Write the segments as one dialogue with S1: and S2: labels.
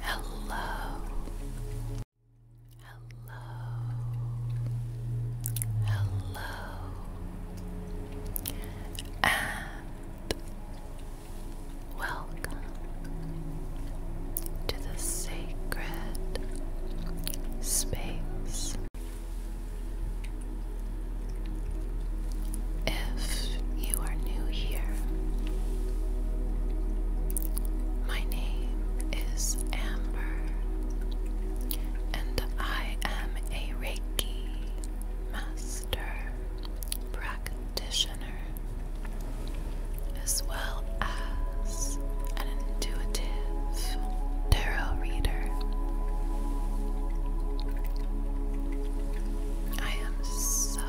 S1: Hello. Hello. Hello. And welcome to the sacred space if you are new here, my name is Amber, and I am a Reiki Master Practitioner, as well as an intuitive tarot reader. I am so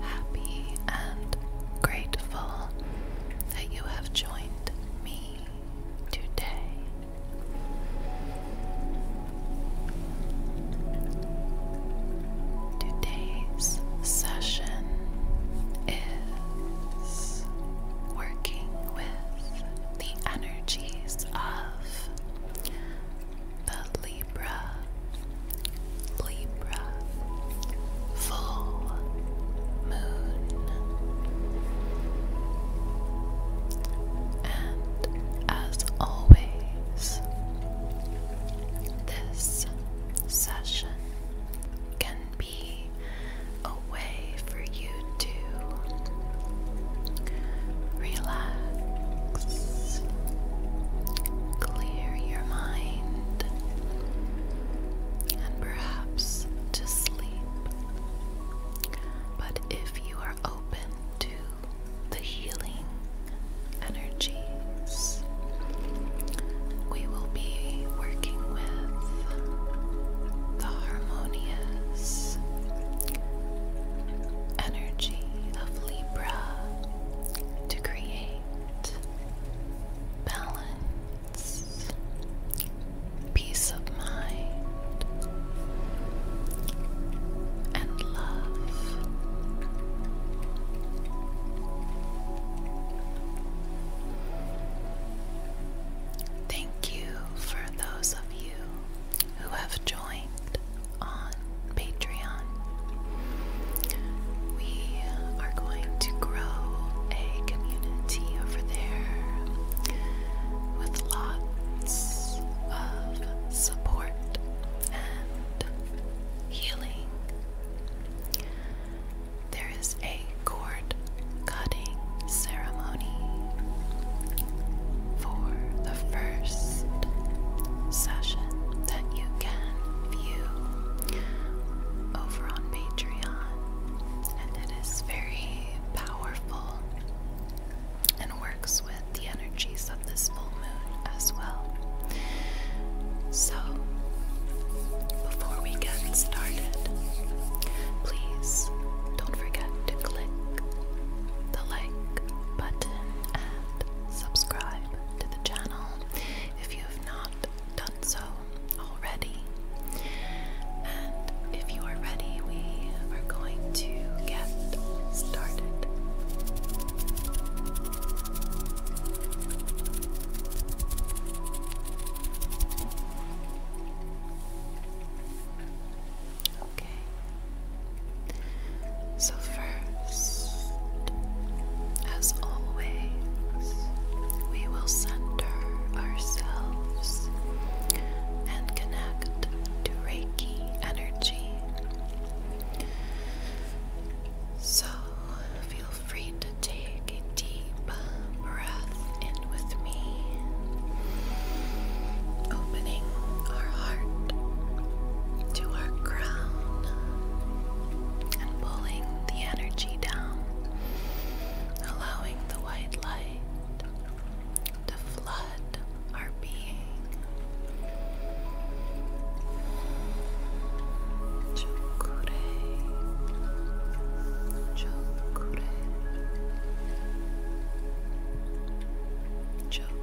S1: happy and grateful that you have joined me today. Today's session is working with the energies of the Libra, Libra, full moon. And as always, this session can be a way for you to relax, clear your mind, and perhaps to sleep. But if you are open to the healing energies, we will be working with the harmonious energy of Libra to create balance, peace of mind, and love. Thank you for those of you who have joined on Patreon. We are going to grow a community over there with lots of support and healing. There is a cord cutting ceremony ceremony for the first session that you can view over on Patreon, and it is very powerful and works with the energies of this full moon as well. So, before we get started, please don't forget to click the like button and subscribe to the channel if you have not done so already. And if you are ready, we are going to get started. Okay. So, first, as always, we will center ourselves and connect to Reiki energy. So, feel free to take a deep breath in with me opening our heart to our crown and pulling the energy down, allowing the white light to flood our being. Chukure. Chukure. Chukure.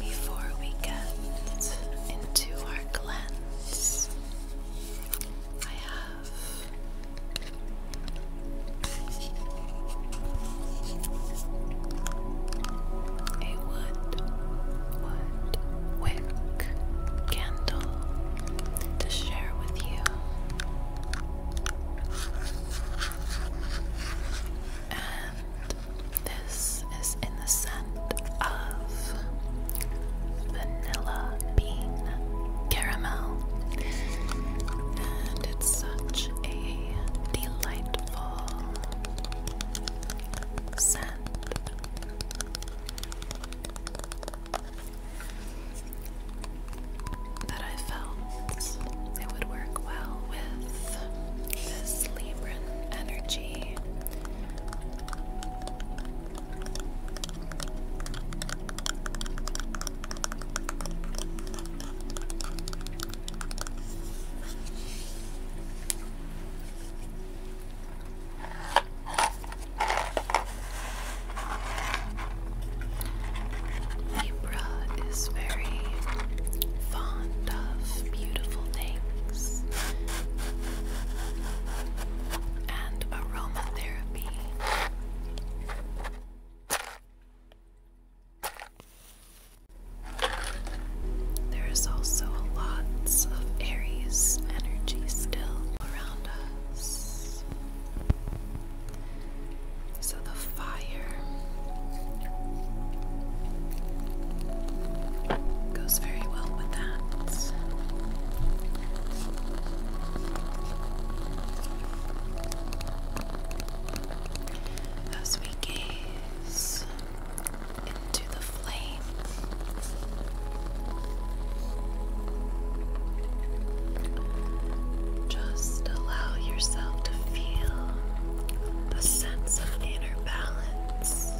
S1: Before we get into our cleanse, I have a wood, wick candle to share with you. And this is in the scent of vanilla bean caramel. And it's such a delightful scent that I felt it would work well with this Libran energy. Libra is very fond of beautiful things and aromatherapy. There is also a lot of Aries energy still so the fire goes very well with that. As we gaze into the flame. Just allow yourself to feel the sense of inner balance.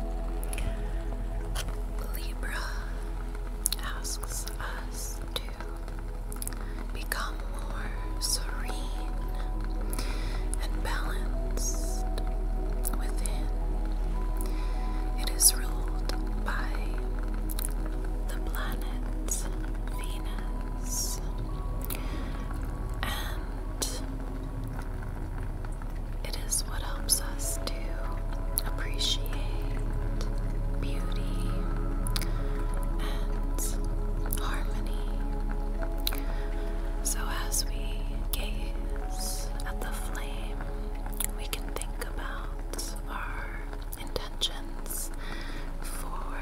S1: Libra asks us to become more serene and balanced within. It is ruled by the planet Venus and it is what helps us to appreciate beauty and harmony. So as we gaze at the flame, we can think about our intentions for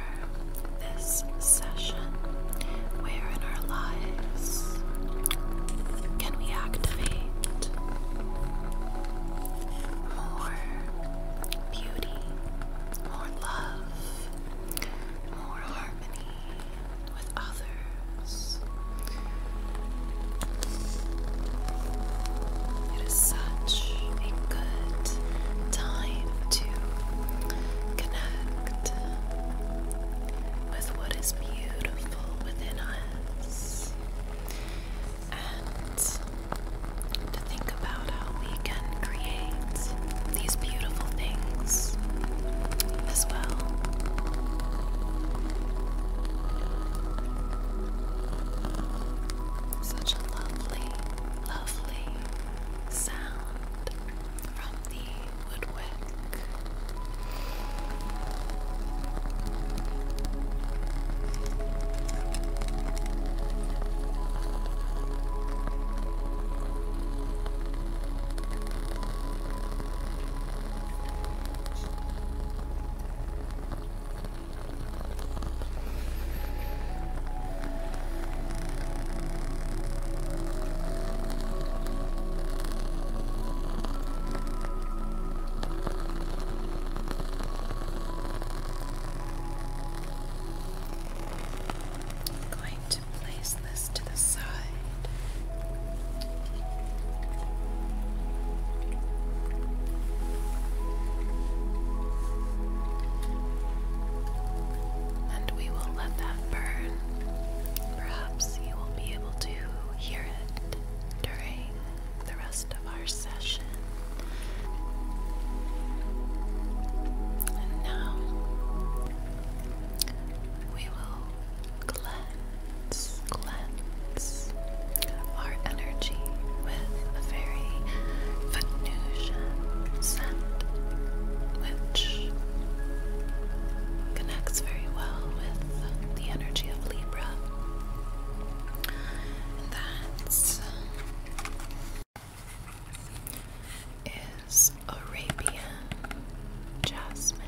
S1: this session. Where in our lives can we activate more beauty, more love, more harmony with others? It is such a good time to connect with what is beautiful within us and to think about how we can create these beautiful things as well. Such a lovely, lovely sound from the woodwick. I'm going to place this to the side. And we will let that burn. Perhaps you will be able to hear it during the rest of our session. And now we will Glance, cleanse our energy with a very Venusian scent, which connects very well with the energy of Libra. that is Arabian jasmine.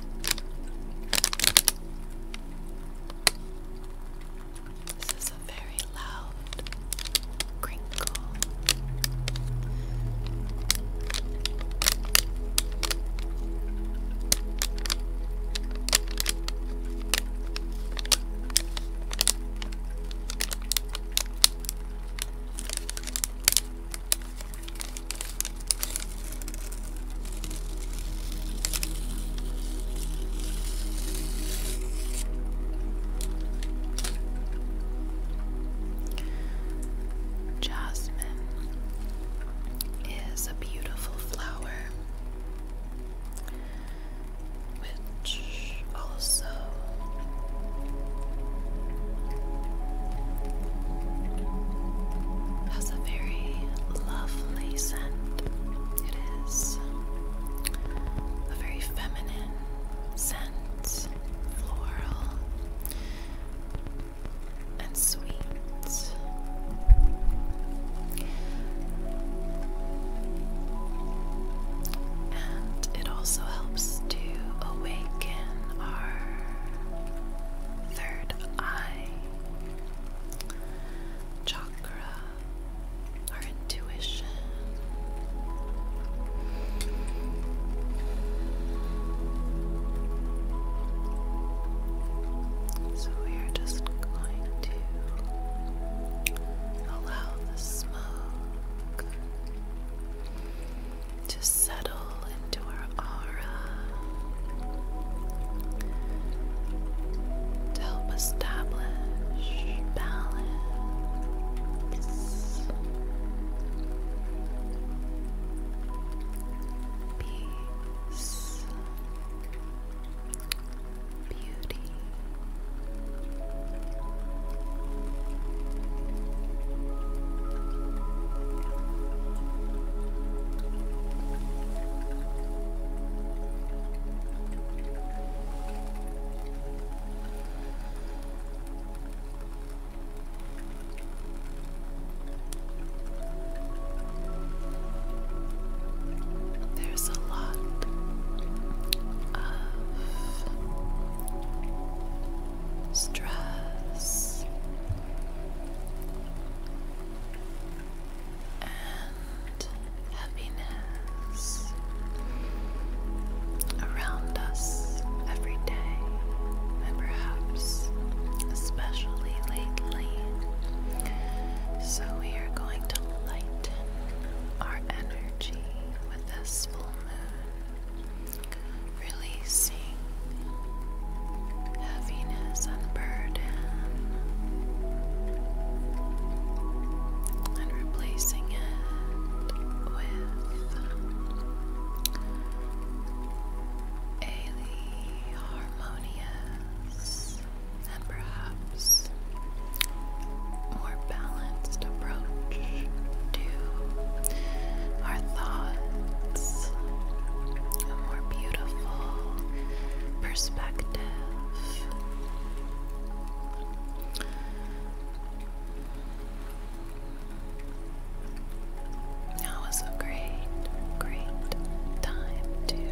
S1: This is a very loud crinkle. Jasmine is a beautiful flower which also has a very lovely scent. It is a very feminine scent, floral and sweet. And it also helps to awaken our third eye chakra or intuition. So we are just going to allow the smoke to settle into our aura, to help establish balance, peace, beauty. There's a lot of stress and happiness around us every day, and perhaps especially lately. So, we are going to lighten our energy with this full moon releasing heaviness and burden and replacing it with a harmonious and perhaps more balanced approach to our thoughts, beautiful perspective. That was a great, great time to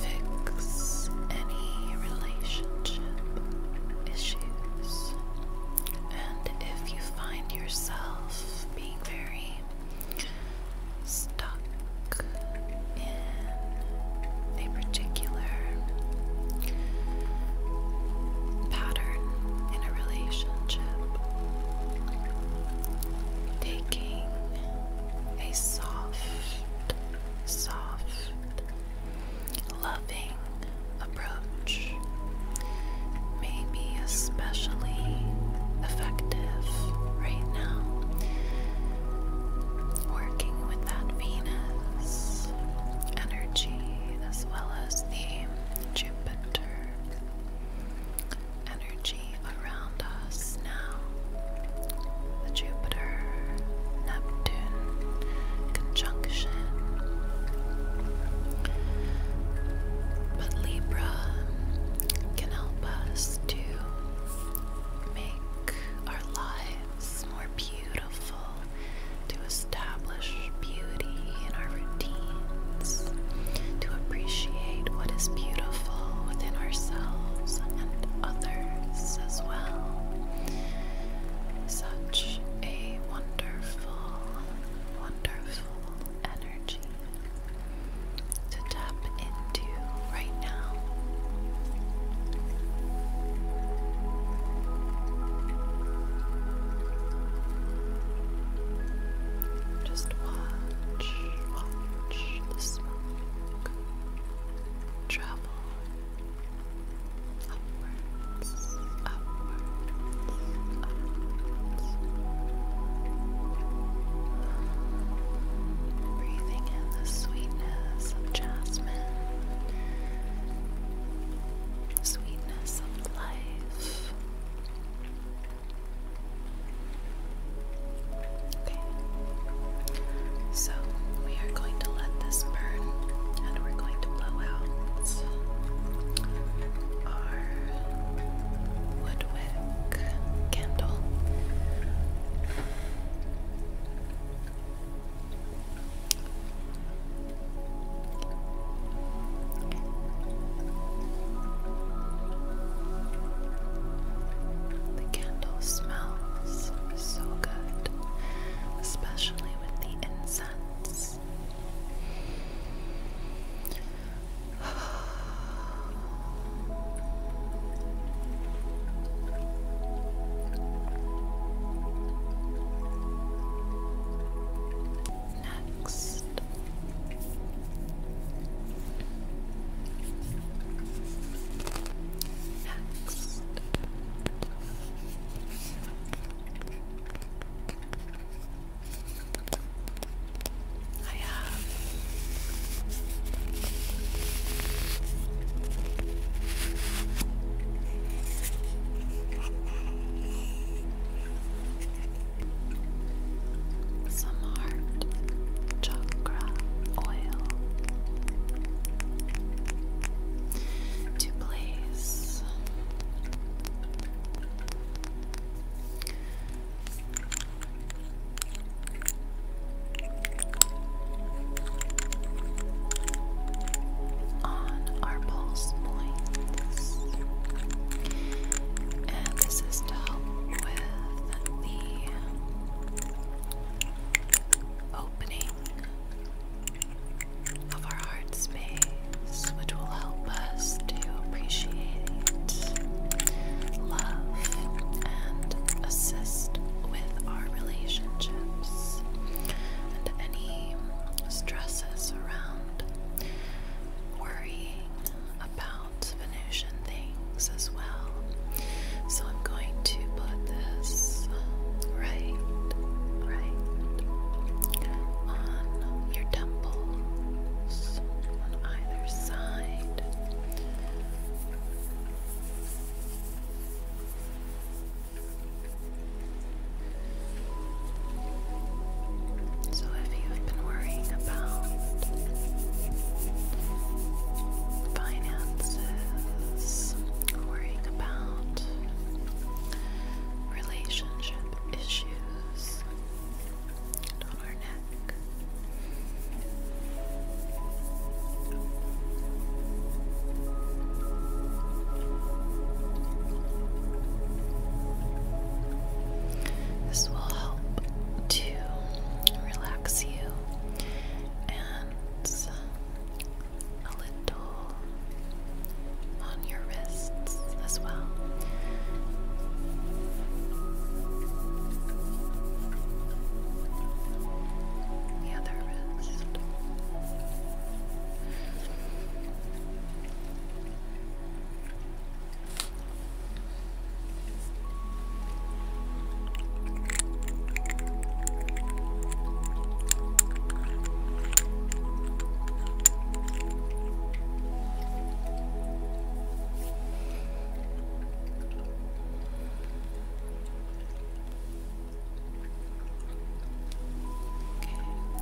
S1: fix any relationship issues. And if you find yourself being very stuck in a particular pattern in a relationship, taking a soft, soft, loving, approach may be especially effective right now. Working with that Venus energy as well as the Jupiter energy around us now. The Jupiter Neptune conjunction but Libra can help us to make our lives more beautiful, to establish beauty in our routines, to appreciate what is beautiful within ourselves and others as well. Such a wonderful, wonderful energy to tap into right now. Just watch, watch the smoke travel upward upwards, upwards, Breathing in the sweetness of jasmine, sweetness of life. Okay, so we are going to let this burn and we're going to blow out woodwick candle. The candle smells so good, especially with the incense face. Next, next. I have some heart chakra oil to place on our pulse points. And this is to help with the opening of our heart space, which will help us to appreciate, love, and assist with our relationships and any stresses around worrying about Venusian things as well. So I'm going to put this right, right on your temple holes on either side. So, if you've been worrying about finances, worrying about relationship issues, this will help to relax you and a little on your wrists as well. The other wrist. Okay,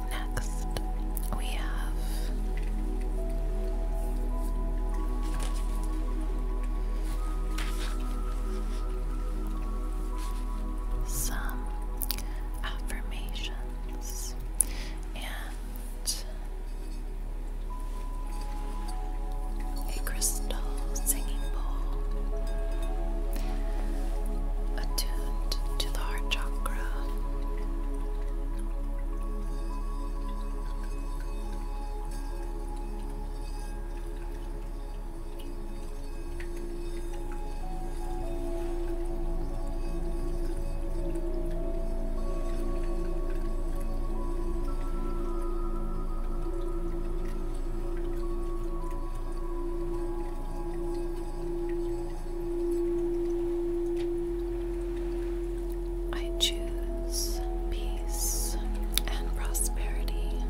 S1: next we have some affirmations, and a crystal singing bowl attuned to the heart chakra. I choose peace and prosperity.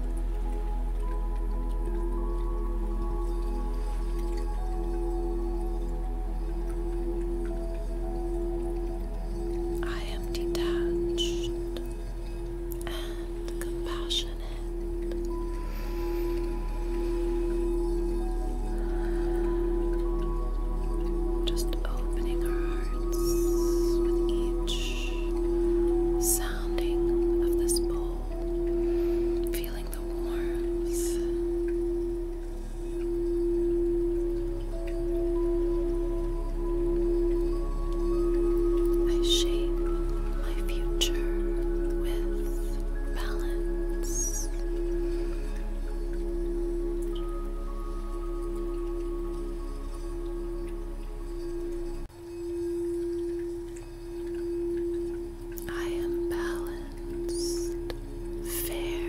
S1: I am detached and compassionate. Just opening our hearts with each sounding of this bowl, feeling the warmth I shape my future with balance. I am balanced, fair,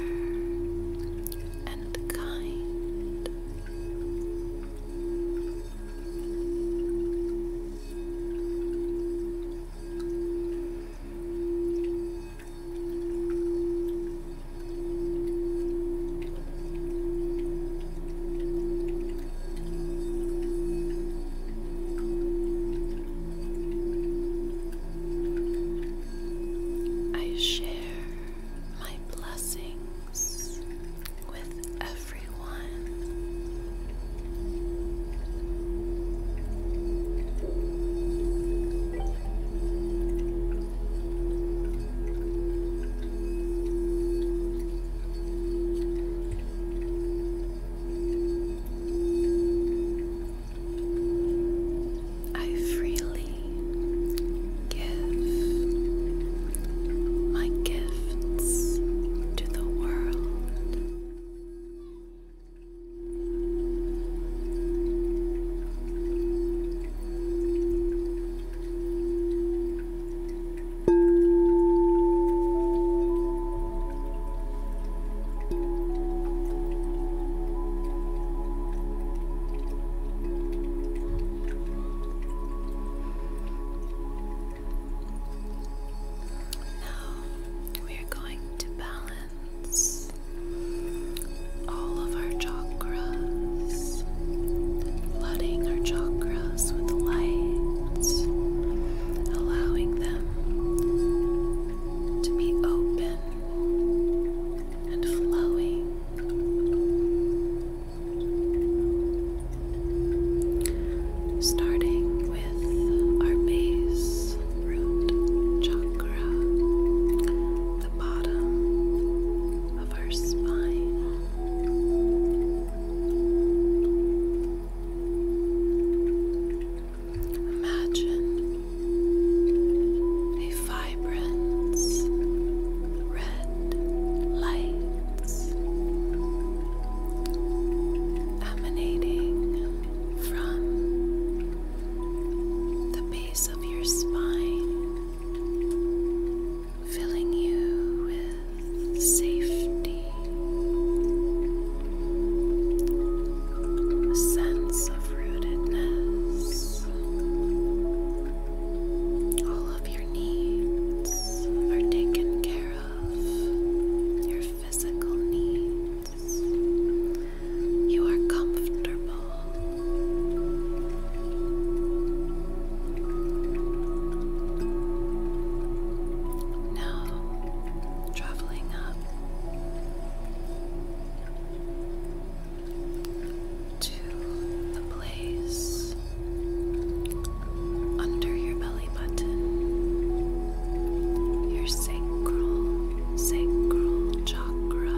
S1: and kind. I share my blessings with everyone. I freely give my gifts to the world. Now we are going to balance all of our chakras, flooding our chakras with light, allowing them to be open and flowing. Starting with our base root chakra, the bottom of our spine. Imagine a vibrant red light emanating from the base of your spine, filling you with safety a sense of rootedness. All of your needs are taken care of, your physical needs. You are comfortable. Now, traveling up to the place under your belly button, your sacral, sacral chakra.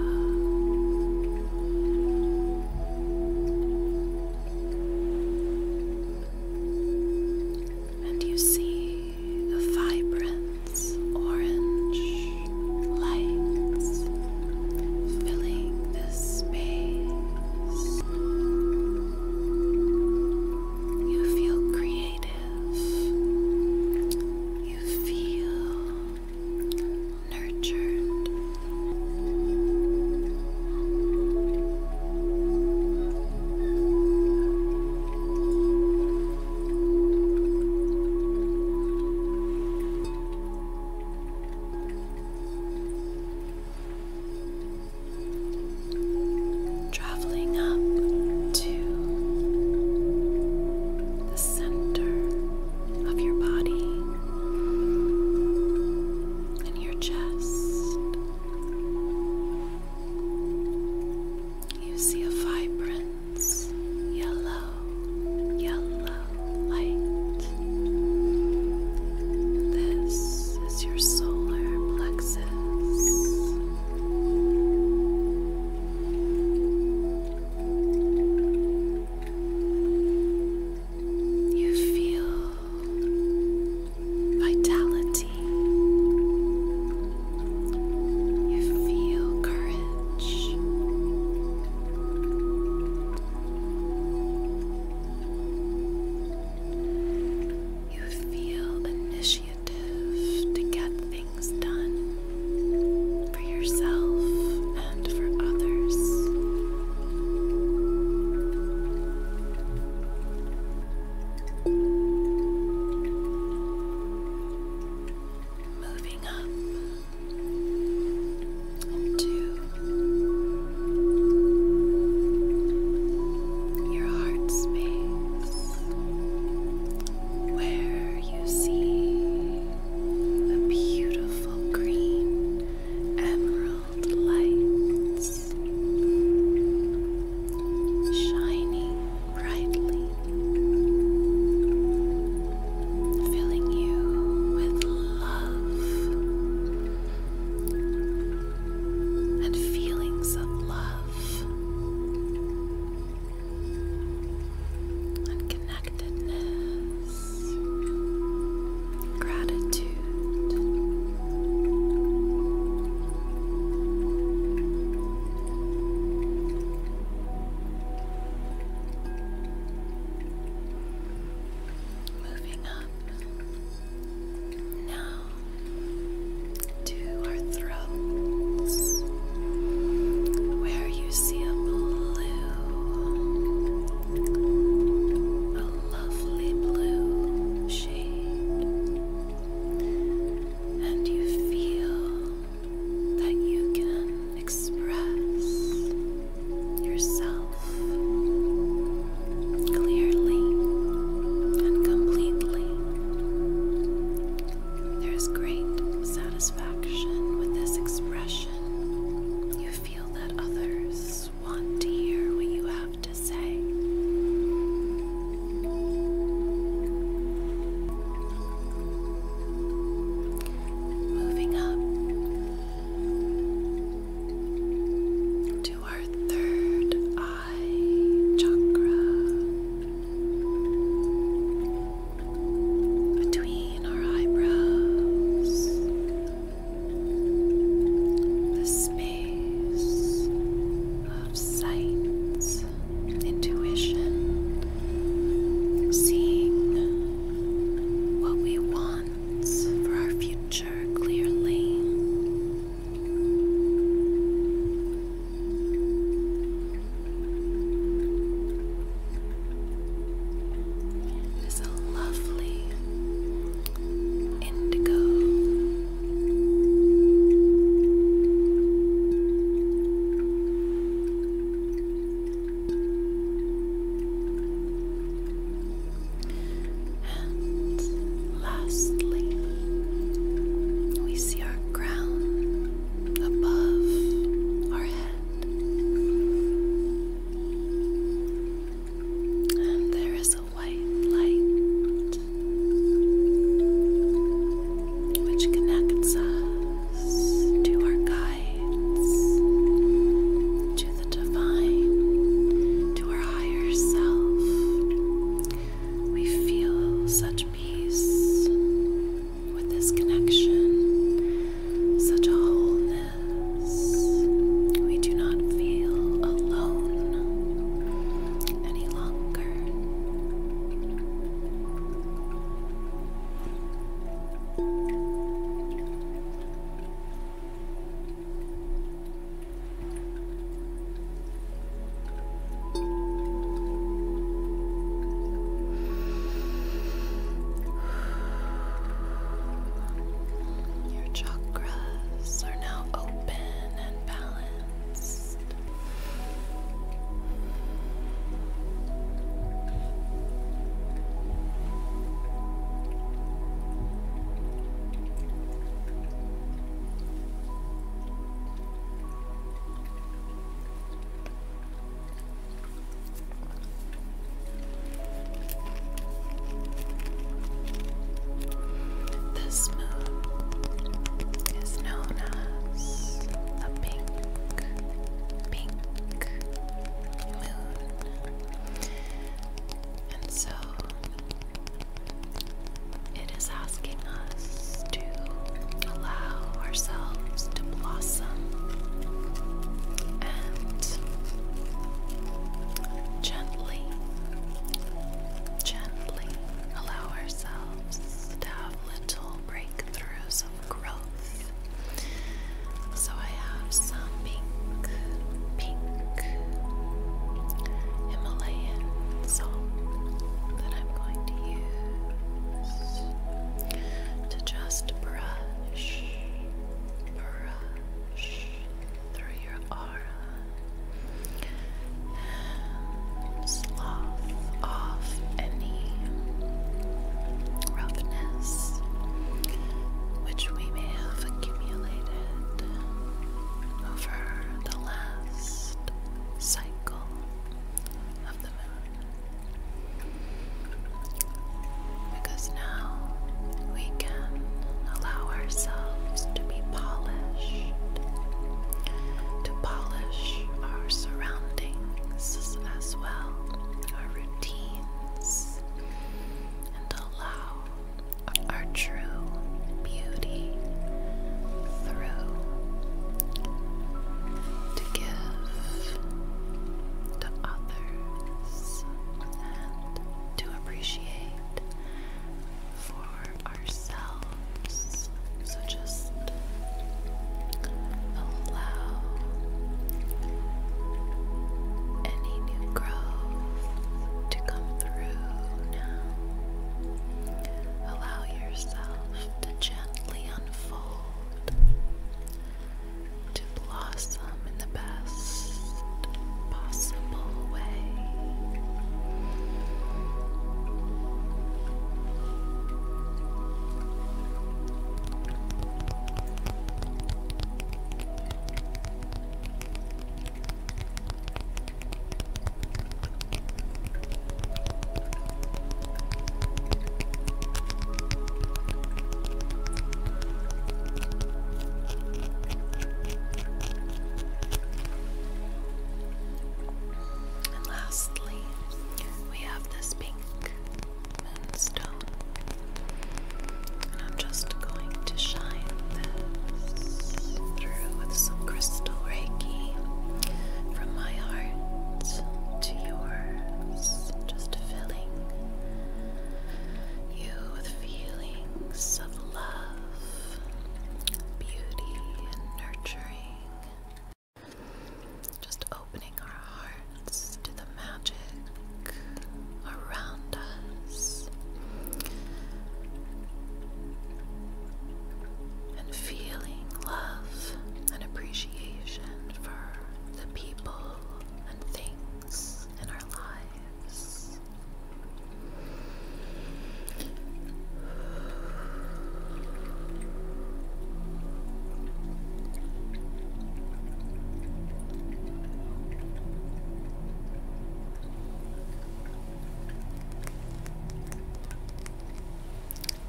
S1: And you see the vibrant orange lights filling this space. You feel creative. You feel nurtured. Traveling up to the center of your body and your chest. You see a vibrant yellow, yellow light. This is your solar plexus. You feel vitality clarity. You feel courage. You feel initiative to get things done for yourself and for others moving up to your heart space where you see the beautiful green emerald lights shining brightly, filling you with love and feelings of love connectedness, gratitude. Moving up now to our throats, where you see a blue, a lovely blue shade, and you feel that you can express yourself clearly and completely. There's great satisfaction with this expression. You feel that others want to hear what you have to say. Moving up to our third eye chakra between our eyebrows. The space of sight intuition, seeing what we want for our future clearly. It is a lovely indigo lastly, we see our crown above our head, and there is a white light which connects us to our guides, to the divine, to our higher self. We feel such peace with this connection, such a wholeness. We do not feel alone any longer. Your chakras are now open and balanced. This moon is known as a pink, pink moon. And so it is asking us to allow ourselves to blossom and gently, gently allow ourselves to have gentle breakthroughs of growth. So I have some pink, pink Himalayan salt that I'm going to use to just brush, brush through your aura. Slough off any roughness which we may have accumulated over the last cycle of the moon. Because now we can allow ourselves to be polished, to polish our surroundings as well, our routines, and allow our true beauty through to give to others and to appreciate for ourselves. So just allow any new growth to come through now. Allow yourself to gently unfold, to blossom in the best possible way. And lastly, we have this pink moonstone, and I'm just going to shine this through with some crystal reiki from my heart to yours, just filling you with feelings of love, beauty, and nurturing. Just opening our hearts to the magic around us and feeling love and appreciation for the people and things in our lives.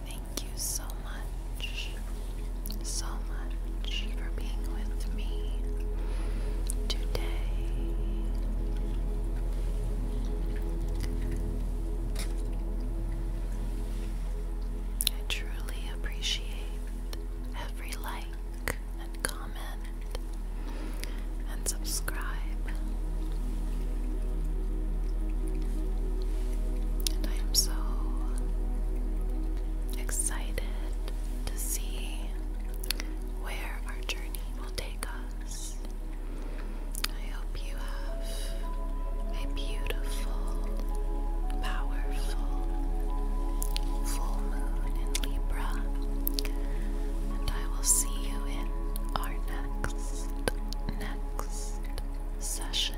S1: Thank you so much, so much for being with me today. I truly appreciate every like and comment and subscribe. And I am so excited to see where our journey will take us this. I hope you have a beautiful, powerful full moon in Libra, and I will see you in our next, next session.